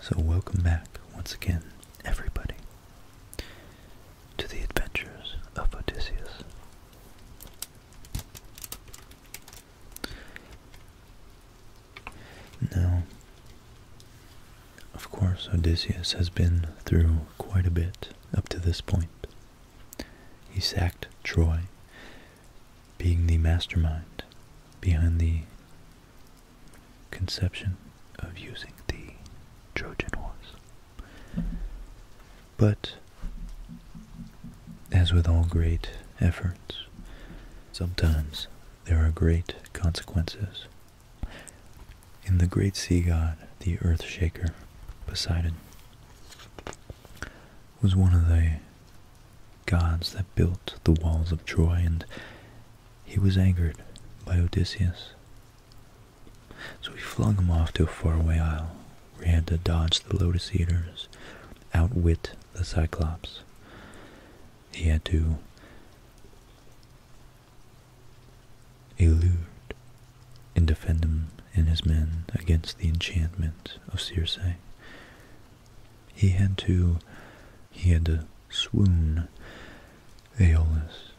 So, welcome back once again, everybody, to the adventures of Odysseus. Now, of course, Odysseus has been through quite a bit up to this point. He sacked Troy, being the mastermind behind the conception of using the Trojan horse. But, as with all great efforts, sometimes there are great consequences in the great sea god, the earth shaker, Poseidon, was one of the gods that built the walls of Troy, and he was angered by Odysseus. So he flung him off to a faraway isle, where he had to dodge the lotus eaters, outwit the Cyclops. He had to allured and defend him and his men against the enchantment of Circe. He had to he had to swoon Aeolus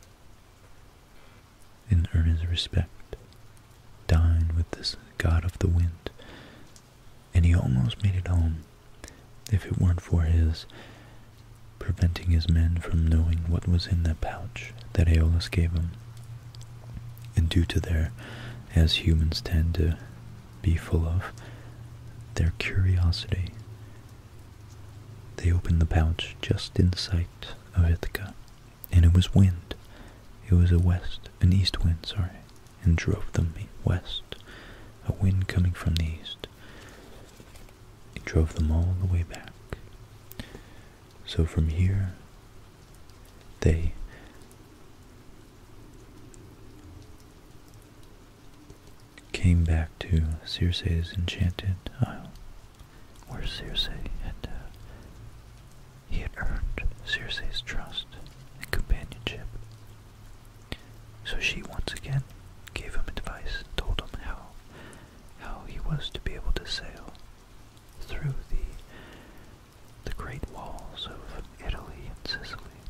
in earnest respect, dine with this god of the wind, and he almost made it home if it weren't for his preventing his men from knowing what was in the pouch that Aeolus gave him. And due to their, as humans tend to be full of, their curiosity, they opened the pouch just in sight of Ithaca, and it was wind. It was a west, an east wind, sorry, and drove them west, a wind coming from the east. He drove them all the way back. So from here, they came back to Circe's enchanted isle, where Circe had, uh, he had earned Circe's trust and companionship. So she once again gave him advice, and told him how how he was to be able to sail through the the great walls of Italy and Sicily.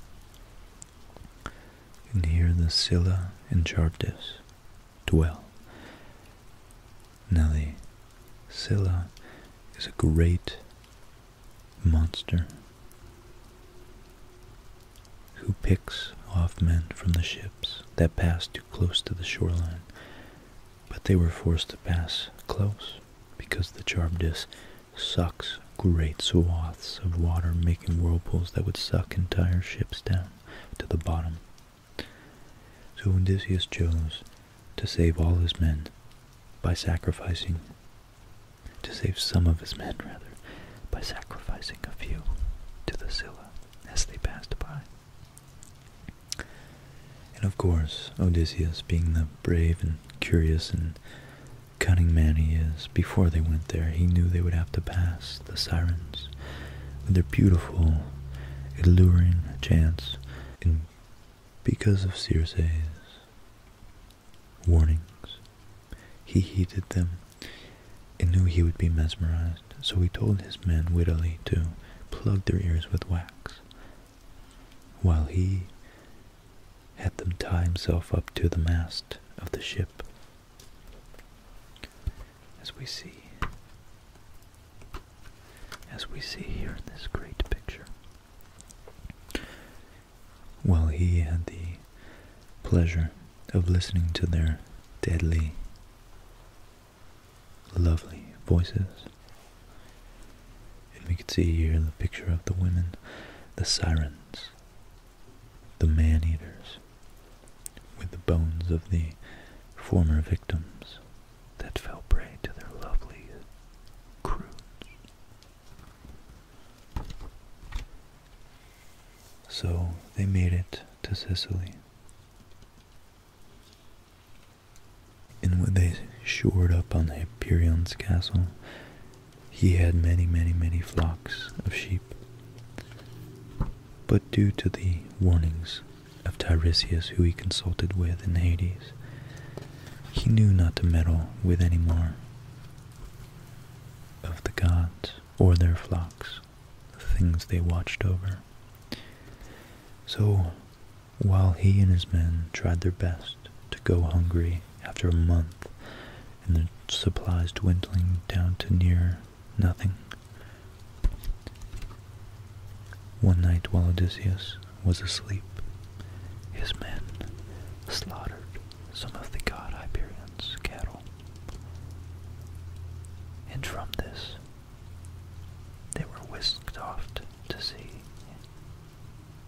And here the Scylla and Chartis dwell. Now the Scylla is a great monster who picks off men from the ships that pass too close to the shoreline. But they were forced to pass close because the Charbdis sucks great swaths of water, making whirlpools that would suck entire ships down to the bottom. So Odysseus chose to save all his men by sacrificing, to save some of his men rather, by sacrificing a few to the Scylla as they passed by. And of course, Odysseus, being the brave and curious and cunning man he is, before they went there, he knew they would have to pass the sirens with their beautiful, alluring chants, and because of Circe's warnings, he heeded them and knew he would be mesmerized, so he told his men wittily to plug their ears with wax, while he had them tie himself up to the mast of the ship. As we see, as we see here in this great picture, while he had the pleasure of listening to their deadly, lovely voices. And we could see here the picture of the women, the sirens, the man-eaters, with the bones of the former victims that fell prey to their lovely crew. So they made it to Sicily. And when they shored up on Hyperion's castle, he had many, many, many flocks of sheep. But due to the warnings of Tiresias, who he consulted with in Hades, he knew not to meddle with any more of the gods or their flocks the things they watched over. So while he and his men tried their best to go hungry after a month and the supplies dwindling down to near nothing, one night while Odysseus was asleep, his men slaughtered some of the god Hyperion's cattle and from this, they were whisked off to sea,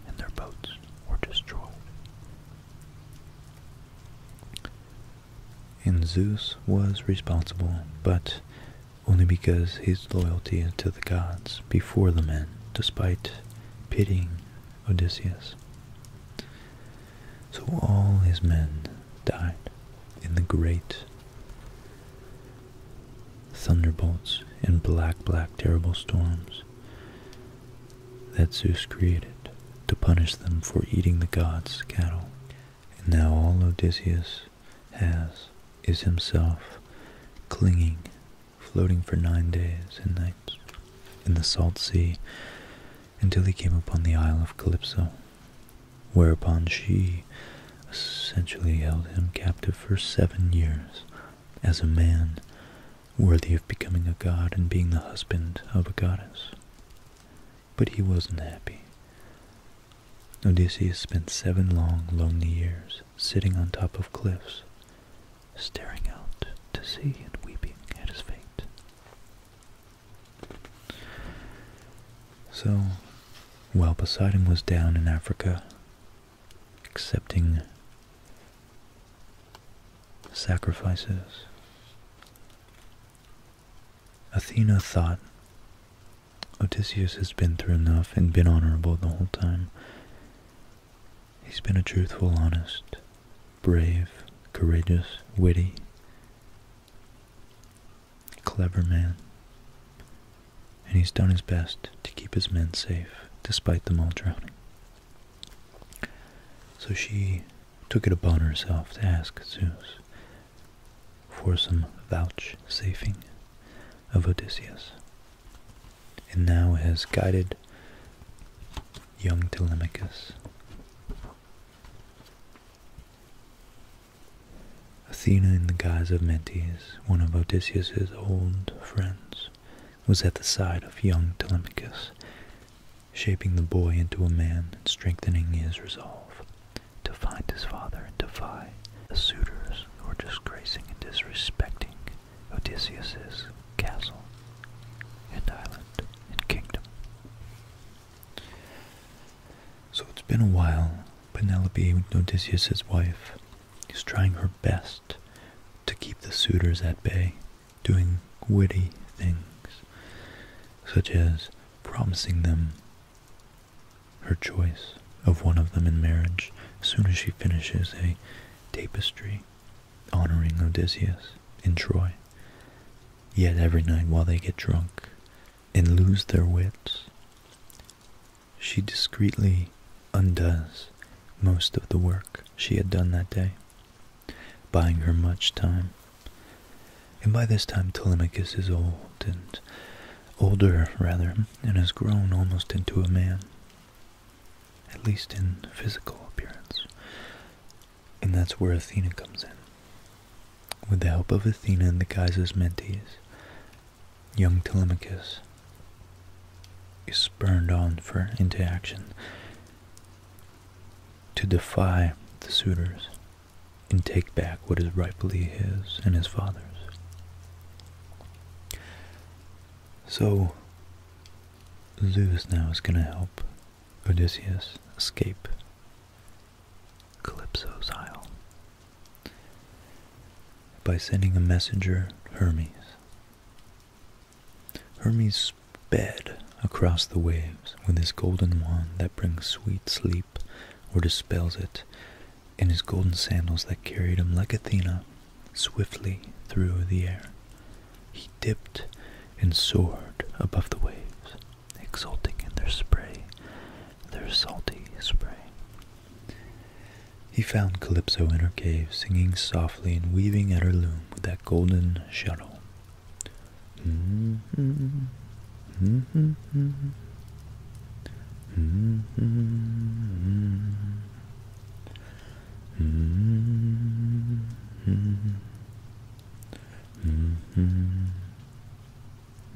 and their boats were destroyed. And Zeus was responsible, but only because his loyalty to the gods before the men, despite pitying Odysseus. So all his men died in the great thunderbolts and black, black, terrible storms that Zeus created to punish them for eating the gods' cattle. And now all Odysseus has is himself clinging, floating for nine days and nights in the salt sea until he came upon the Isle of Calypso, whereupon she essentially held him captive for seven years as a man worthy of becoming a god and being the husband of a goddess. But he wasn't happy. Odysseus spent seven long, lonely years sitting on top of cliffs, staring out to sea and weeping at his fate. So, while Poseidon was down in Africa, accepting sacrifices, Athena thought Odysseus has been through enough and been honorable the whole time. He's been a truthful, honest, brave, courageous, witty, Clever man. And he's done his best to keep his men safe, despite them all drowning. So she took it upon herself to ask Zeus for some vouchsafing of Odysseus, and now has guided young Telemachus Athena in the guise of Mentes, one of Odysseus's old friends, was at the side of young Telemachus, shaping the boy into a man and strengthening his resolve to find his father and defy the suitors who were disgracing and disrespecting Odysseus's castle and island and kingdom. So it's been a while. Penelope, Odysseus' wife, is trying her best to keep the suitors at bay, doing witty things, such as promising them her choice of one of them in marriage as soon as she finishes a tapestry honoring Odysseus in Troy, Yet every night while they get drunk and lose their wits, she discreetly undoes most of the work she had done that day, buying her much time. And by this time Telemachus is old and older rather, and has grown almost into a man, at least in physical appearance. And that's where Athena comes in. With the help of Athena and the Kaiser's mentees, young Telemachus is spurred on for into action to defy the suitors and take back what is rightfully his and his father's. So, Zeus now is going to help Odysseus escape Calypso's Isle by sending a messenger, Hermes. Hermes sped across the waves with his golden wand that brings sweet sleep or dispels it, and his golden sandals that carried him like Athena swiftly through the air. He dipped and soared above the waves, exulting in their spray, their salty spray. He found Calypso in her cave, singing softly and weaving at her loom with that golden shuttle.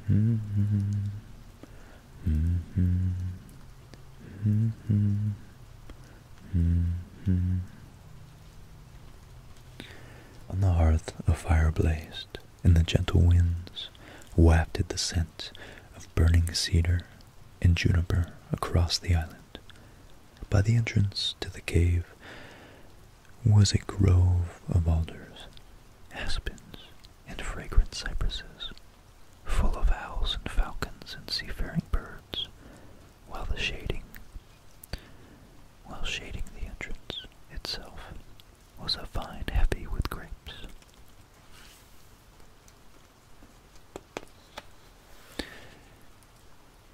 On the hearth a fire blazed, and the gentle winds wafted the scent of burning cedar and juniper across the island. By the entrance to the cave was a grove of alders, aspens, and fragrant cypresses, full of owls and falcons and seafaring birds, while the shading while shading the entrance itself was a vine heavy with grapes.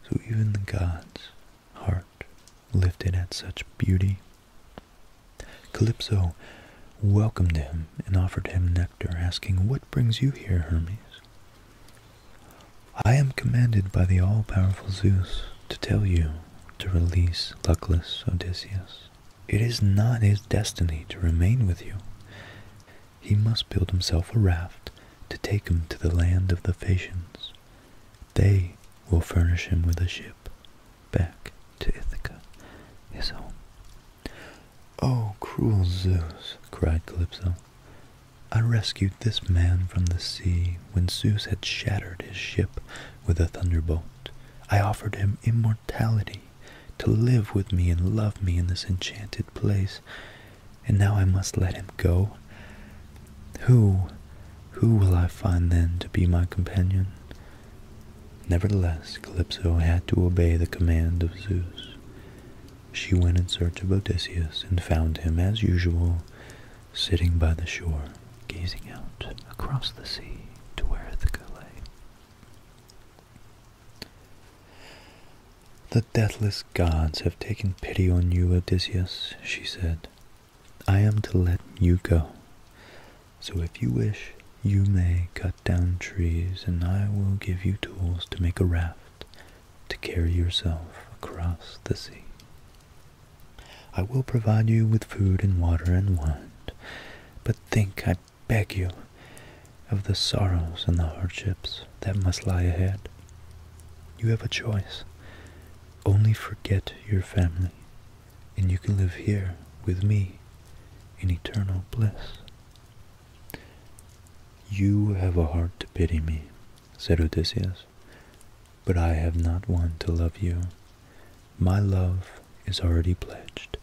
So even the gods heart lifted at such beauty. Calypso welcomed him and offered him nectar, asking, What brings you here, Hermes? I am commanded by the all-powerful Zeus to tell you to release luckless Odysseus. It is not his destiny to remain with you. He must build himself a raft to take him to the land of the Phaeacians, they will furnish him with a ship back to Ithaca, his home. Oh, cruel Zeus, cried Calypso. I rescued this man from the sea when Zeus had shattered his ship with a thunderbolt. I offered him immortality to live with me and love me in this enchanted place, and now I must let him go. Who, who will I find then to be my companion? Nevertheless, Calypso had to obey the command of Zeus. She went in search of Odysseus and found him, as usual, sitting by the shore, gazing out across the sea to where Ithaca lay. The deathless gods have taken pity on you, Odysseus, she said. I am to let you go. So if you wish, you may cut down trees, and I will give you tools to make a raft to carry yourself across the sea. I will provide you with food and water and wine, but think, I beg you, of the sorrows and the hardships that must lie ahead. You have a choice. Only forget your family and you can live here with me in eternal bliss. You have a heart to pity me, said Odysseus, but I have not one to love you. My love is already pledged.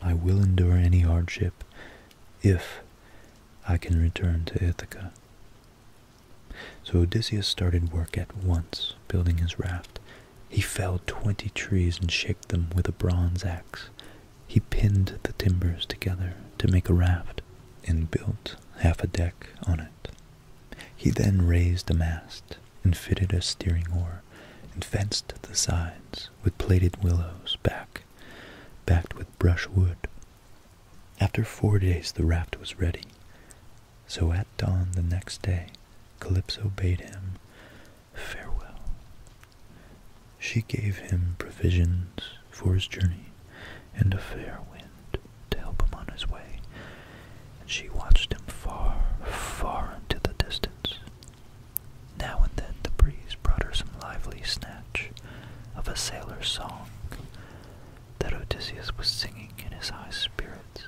I will endure any hardship if I can return to Ithaca. So Odysseus started work at once, building his raft. He felled twenty trees and shaped them with a bronze axe. He pinned the timbers together to make a raft and built half a deck on it. He then raised a mast and fitted a steering oar and fenced the sides with plaited willows back, backed with brushwood. After four days the raft was ready. So at dawn the next day, Calypso bade him farewell. She gave him provisions for his journey and a fair wind to help him on his way, and she watched him far, far into the distance. Now and then the breeze brought her some lively snatch of a sailor's song that Odysseus was singing in his high spirits.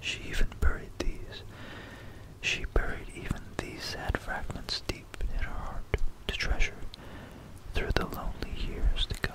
She even buried these. She buried even these sad fragments deep in her heart to treasure through the lonely years to come.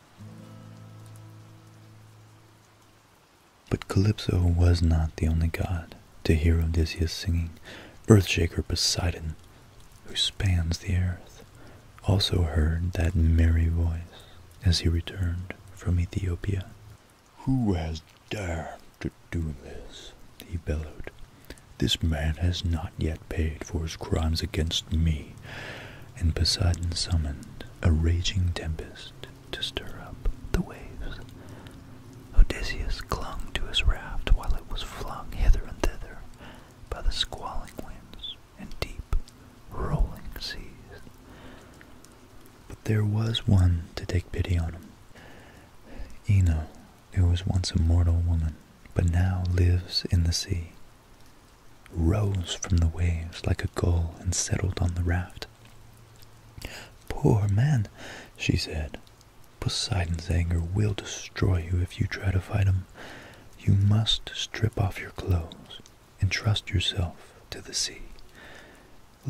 But Calypso was not the only god to hear Odysseus singing. Earthshaker Poseidon, who spans the earth, also heard that merry voice as he returned from Ethiopia. Who has dared to do this? he bellowed. This man has not yet paid for his crimes against me, and Poseidon summoned a raging tempest to stir up the waves. Odysseus clung to his raft while it was flung hither and thither by the squalling winds and deep, rolling seas. But there was one to take pity on him. Ino, who was once a mortal woman, but now lives in the sea, rose from the waves like a gull and settled on the raft. Poor man, she said. Poseidon's anger will destroy you if you try to fight him. You must strip off your clothes and trust yourself to the sea,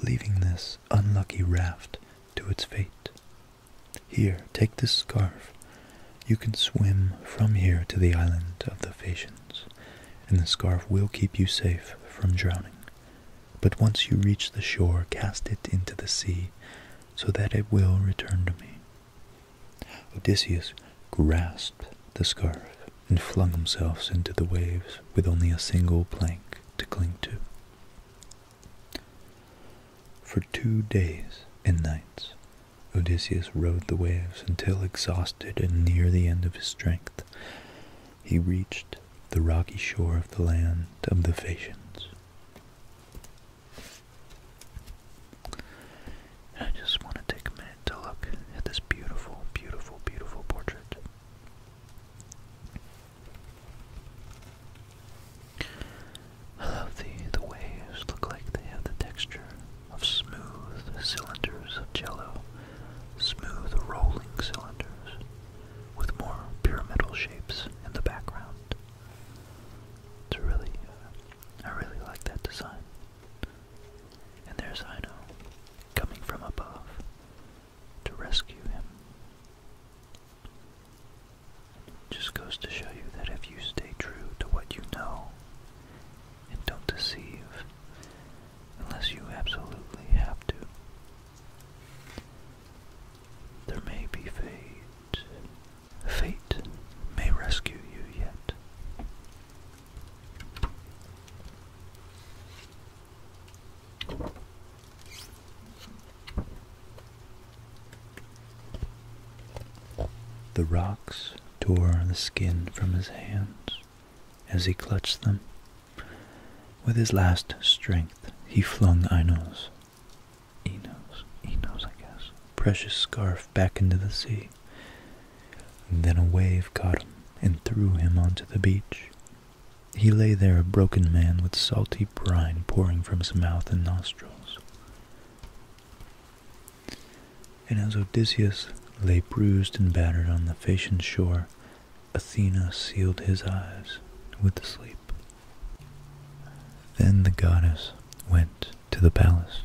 leaving this unlucky raft to its fate. Here, take this scarf. You can swim from here to the island of the Phaeacians and the scarf will keep you safe from drowning. But once you reach the shore, cast it into the sea, so that it will return to me. Odysseus grasped the scarf and flung himself into the waves with only a single plank to cling to. For two days and nights Odysseus rode the waves until exhausted and near the end of his strength, he reached the rocky shore of the land of the Phaeacians. I just want to take a minute to look at this beautiful, beautiful, beautiful portrait. I love the the waves look like they have the texture of smooth cylinders of jello, smooth rolling cylinders, with more pyramidal shapes in the background. It's really, uh, I really like that design. And there's I know coming from above to rescue him. just goes to show you that if you stay true to what you know, and don't deceive unless you absolutely have to. There may be fate. Fate may rescue you yet. The rocks tore the skin from his hands as he clutched them. With his last strength, he flung Einos, Enos, Enos, I guess, precious scarf back into the sea. then a wave caught him and threw him onto the beach. He lay there a broken man with salty brine pouring from his mouth and nostrils. And as Odysseus lay bruised and battered on the Phaeacian shore, Athena sealed his eyes with sleep. Then the goddess went to the palace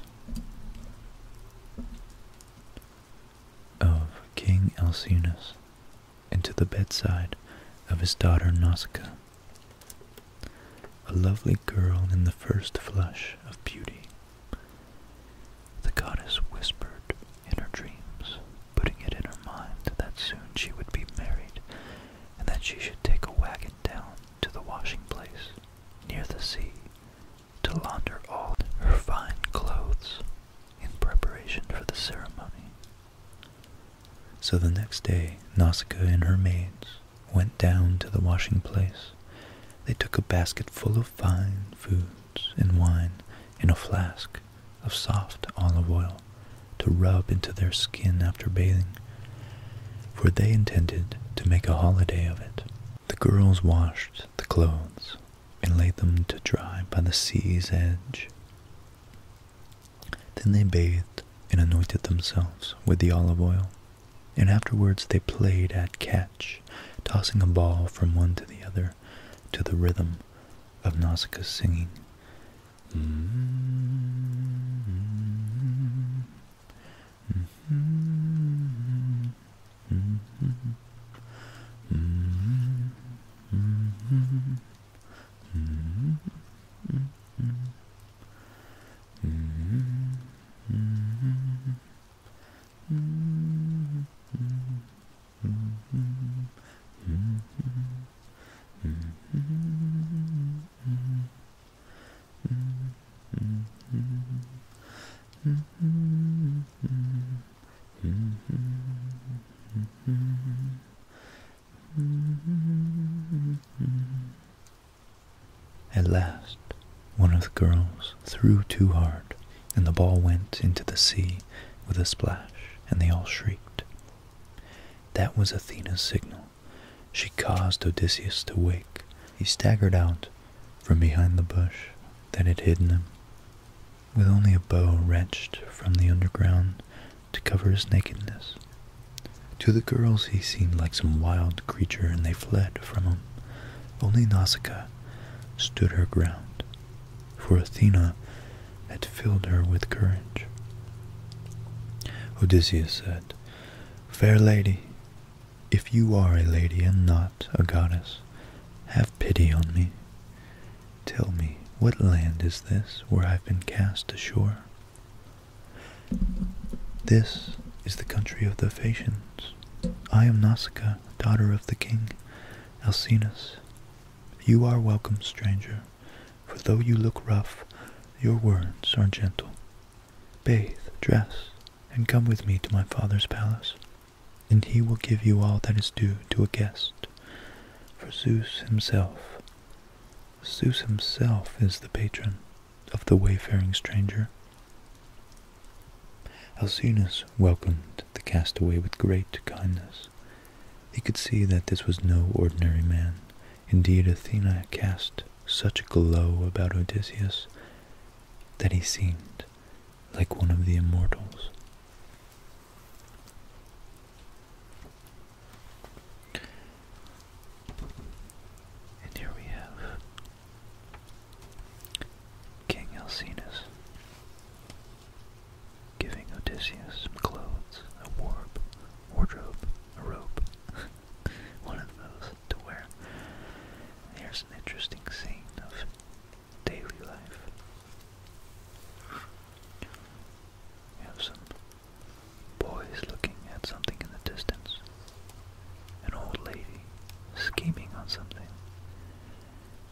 of King Alcinous and to the bedside of his daughter Nausicaa, a lovely girl in the first flush of beauty. The goddess whispered in her dreams, putting it in her mind that soon she would be married and that she should take a wagon down to the washing place near the sea to launder all her fine clothes in preparation for the ceremony. So the next day Nausicaa and her maids went down to the washing place they took a basket full of fine foods and wine and a flask of soft olive oil to rub into their skin after bathing, for they intended to make a holiday of it. The girls washed the clothes and laid them to dry by the sea's edge. Then they bathed and anointed themselves with the olive oil, and afterwards they played at catch tossing a ball from one to the other to the rhythm of Nausicaa's singing. At last, one of the girls threw too hard, and the ball went into the sea with a splash, and they all shrieked. That was Athena's signal. She caused Odysseus to wake. He staggered out from behind the bush that had hidden him, with only a bow wrenched from the underground to cover his nakedness. To the girls he seemed like some wild creature, and they fled from him. Only Nausicaa stood her ground, for Athena had filled her with courage. Odysseus said, Fair lady, if you are a lady and not a goddess, have pity on me. Tell me, what land is this where I've been cast ashore? This is the country of the Phaeacians. I am Nausicaa, daughter of the king Alcinous. You are welcome, stranger, for though you look rough, your words are gentle. Bathe, dress, and come with me to my father's palace, and he will give you all that is due to a guest. For Zeus himself, Zeus himself is the patron of the wayfaring stranger, Alcinous welcomed the castaway with great kindness. He could see that this was no ordinary man. Indeed, Athena cast such a glow about Odysseus that he seemed like one of the immortals. And here we have King Alcinous, giving Odysseus some clothes, a warp, wardrobe, a robe, one of those to wear. Here's an interesting scene of daily life. We have some boys looking at something in the distance. An old lady scheming on something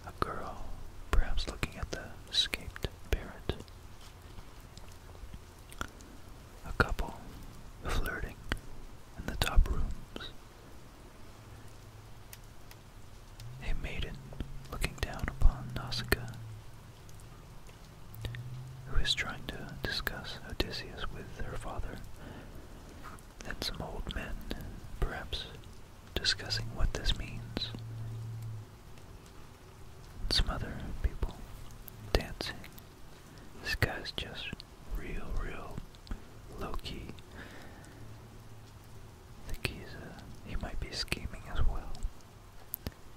a girl, perhaps looking at the escaped parent. A couple flirting in the top rooms. A maiden looking down upon Nausicaa, who is trying to discuss Odysseus with her father, and some old men, perhaps, discussing what this means. Some other people dancing. This guy's just real, real low key. I think he's, uh, he might be scheming as well.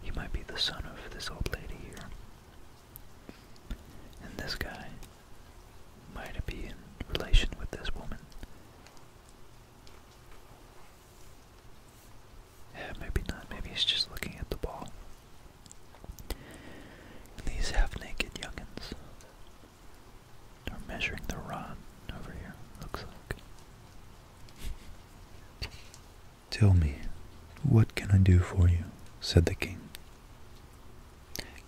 He might be the son of this old lady here. And this guy might it be in relation with this woman? maybe not. Maybe he's just looking at the ball. these half-naked youngins are measuring the rod over here, looks like. Tell me, what can I do for you? said the king.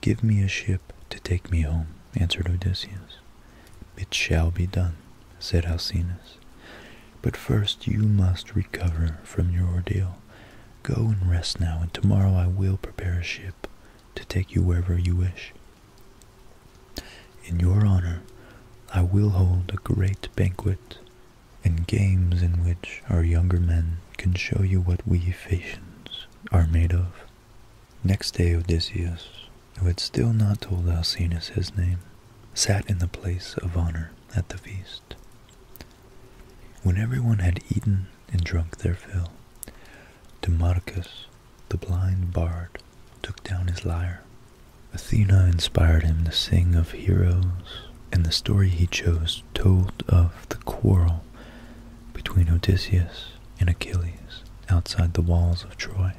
Give me a ship to take me home, answered Odysseus. It shall be done, said Alcinous. But first you must recover from your ordeal. Go and rest now, and tomorrow I will prepare a ship to take you wherever you wish. In your honor, I will hold a great banquet and games in which our younger men can show you what we Phaeacians are made of. Next day Odysseus, who had still not told Alcinous his name, sat in the place of honor at the feast. When everyone had eaten and drunk their fill, Demarchus, the blind bard, took down his lyre. Athena inspired him to sing of heroes, and the story he chose told of the quarrel between Odysseus and Achilles outside the walls of Troy.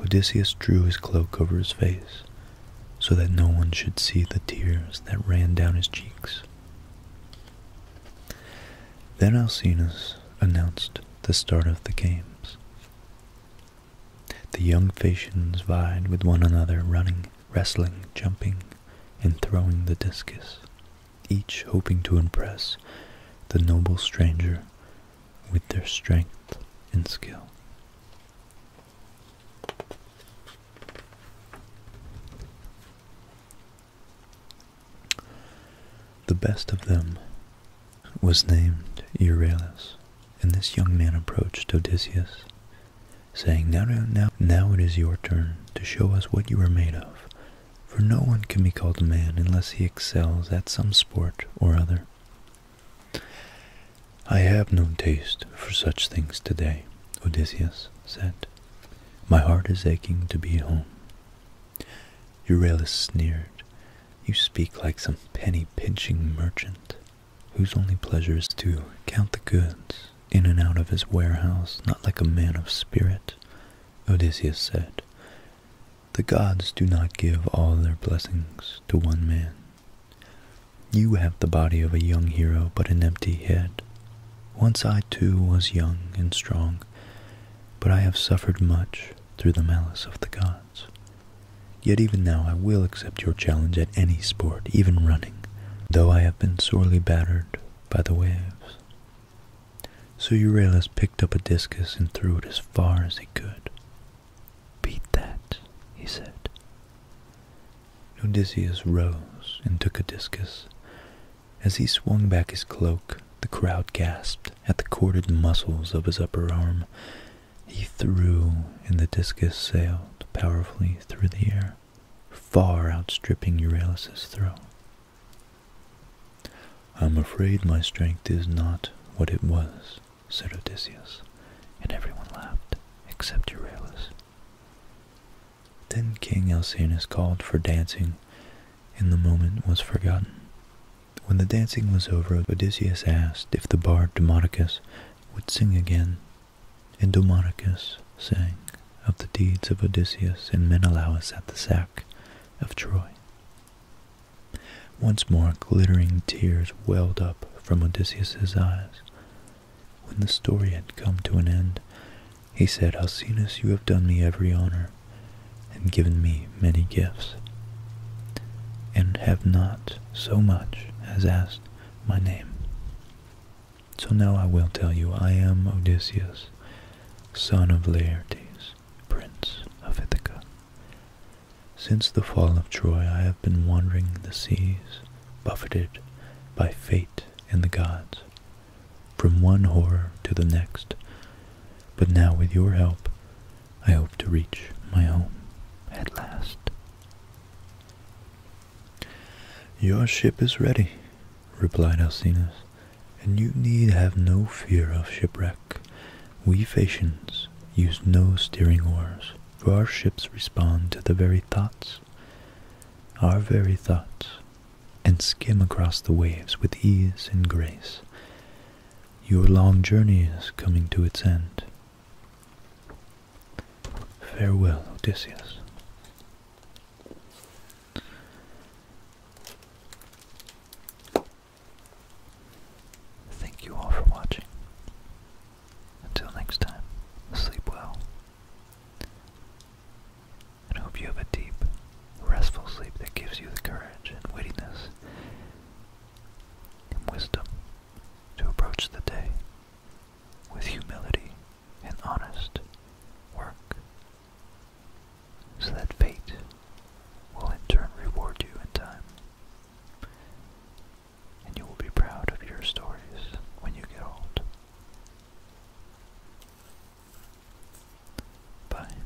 Odysseus drew his cloak over his face so that no one should see the tears that ran down his cheeks. Then Alcinous announced the start of the games. The young Phaeacians vied with one another, running, wrestling, jumping, and throwing the discus each hoping to impress the noble stranger with their strength and skill. The best of them was named Euryalus, and this young man approached Odysseus, saying, Now, now, now it is your turn to show us what you are made of, for no one can be called a man unless he excels at some sport or other. I have no taste for such things today, Odysseus said. My heart is aching to be home. Euryalus sneered. You speak like some penny-pinching merchant, whose only pleasure is to count the goods in and out of his warehouse, not like a man of spirit Odysseus said, The gods do not give all their blessings to one man. You have the body of a young hero, but an empty head. Once I too was young and strong, but I have suffered much through the malice of the gods. Yet even now I will accept your challenge at any sport, even running, though I have been sorely battered by the waves. So Euryalus picked up a discus and threw it as far as he could. Beat that, he said. Odysseus rose and took a discus. As he swung back his cloak, the crowd gasped at the corded muscles of his upper arm. He threw, and the discus sailed powerfully through the air, far outstripping Euryalus' throw. I'm afraid my strength is not what it was, said Odysseus, and everyone laughed, except Euryalus. Then King Alcinous called for dancing, and the moment was forgotten. When the dancing was over, Odysseus asked if the bard Demodocus would sing again, and Demodocus sang of the deeds of Odysseus and Menelaus at the Sack of Troy. Once more glittering tears welled up from Odysseus's eyes. When the story had come to an end, he said, Alcinous, you have done me every honor, and given me many gifts, and have not so much as asked my name. So now I will tell you, I am Odysseus, son of Laertes, prince of Ithaca. Since the fall of Troy I have been wandering the seas, buffeted by fate and the gods, from one horror to the next, but now with your help I hope to reach my home at last. Your ship is ready, replied Alcinous, and you need have no fear of shipwreck. We Phaeacians use no steering oars, for our ships respond to the very thoughts, our very thoughts, and skim across the waves with ease and grace. Your long journey is coming to its end. Farewell, Odysseus. Thank you all for watching. Until next time, sleep well. And hope you have a deep, restful sleep that gives you the courage and wittiness and wisdom to approach the day with humility and honest work so that fate will in turn reward you in time. And you will be proud of your stories when you get old. Bye.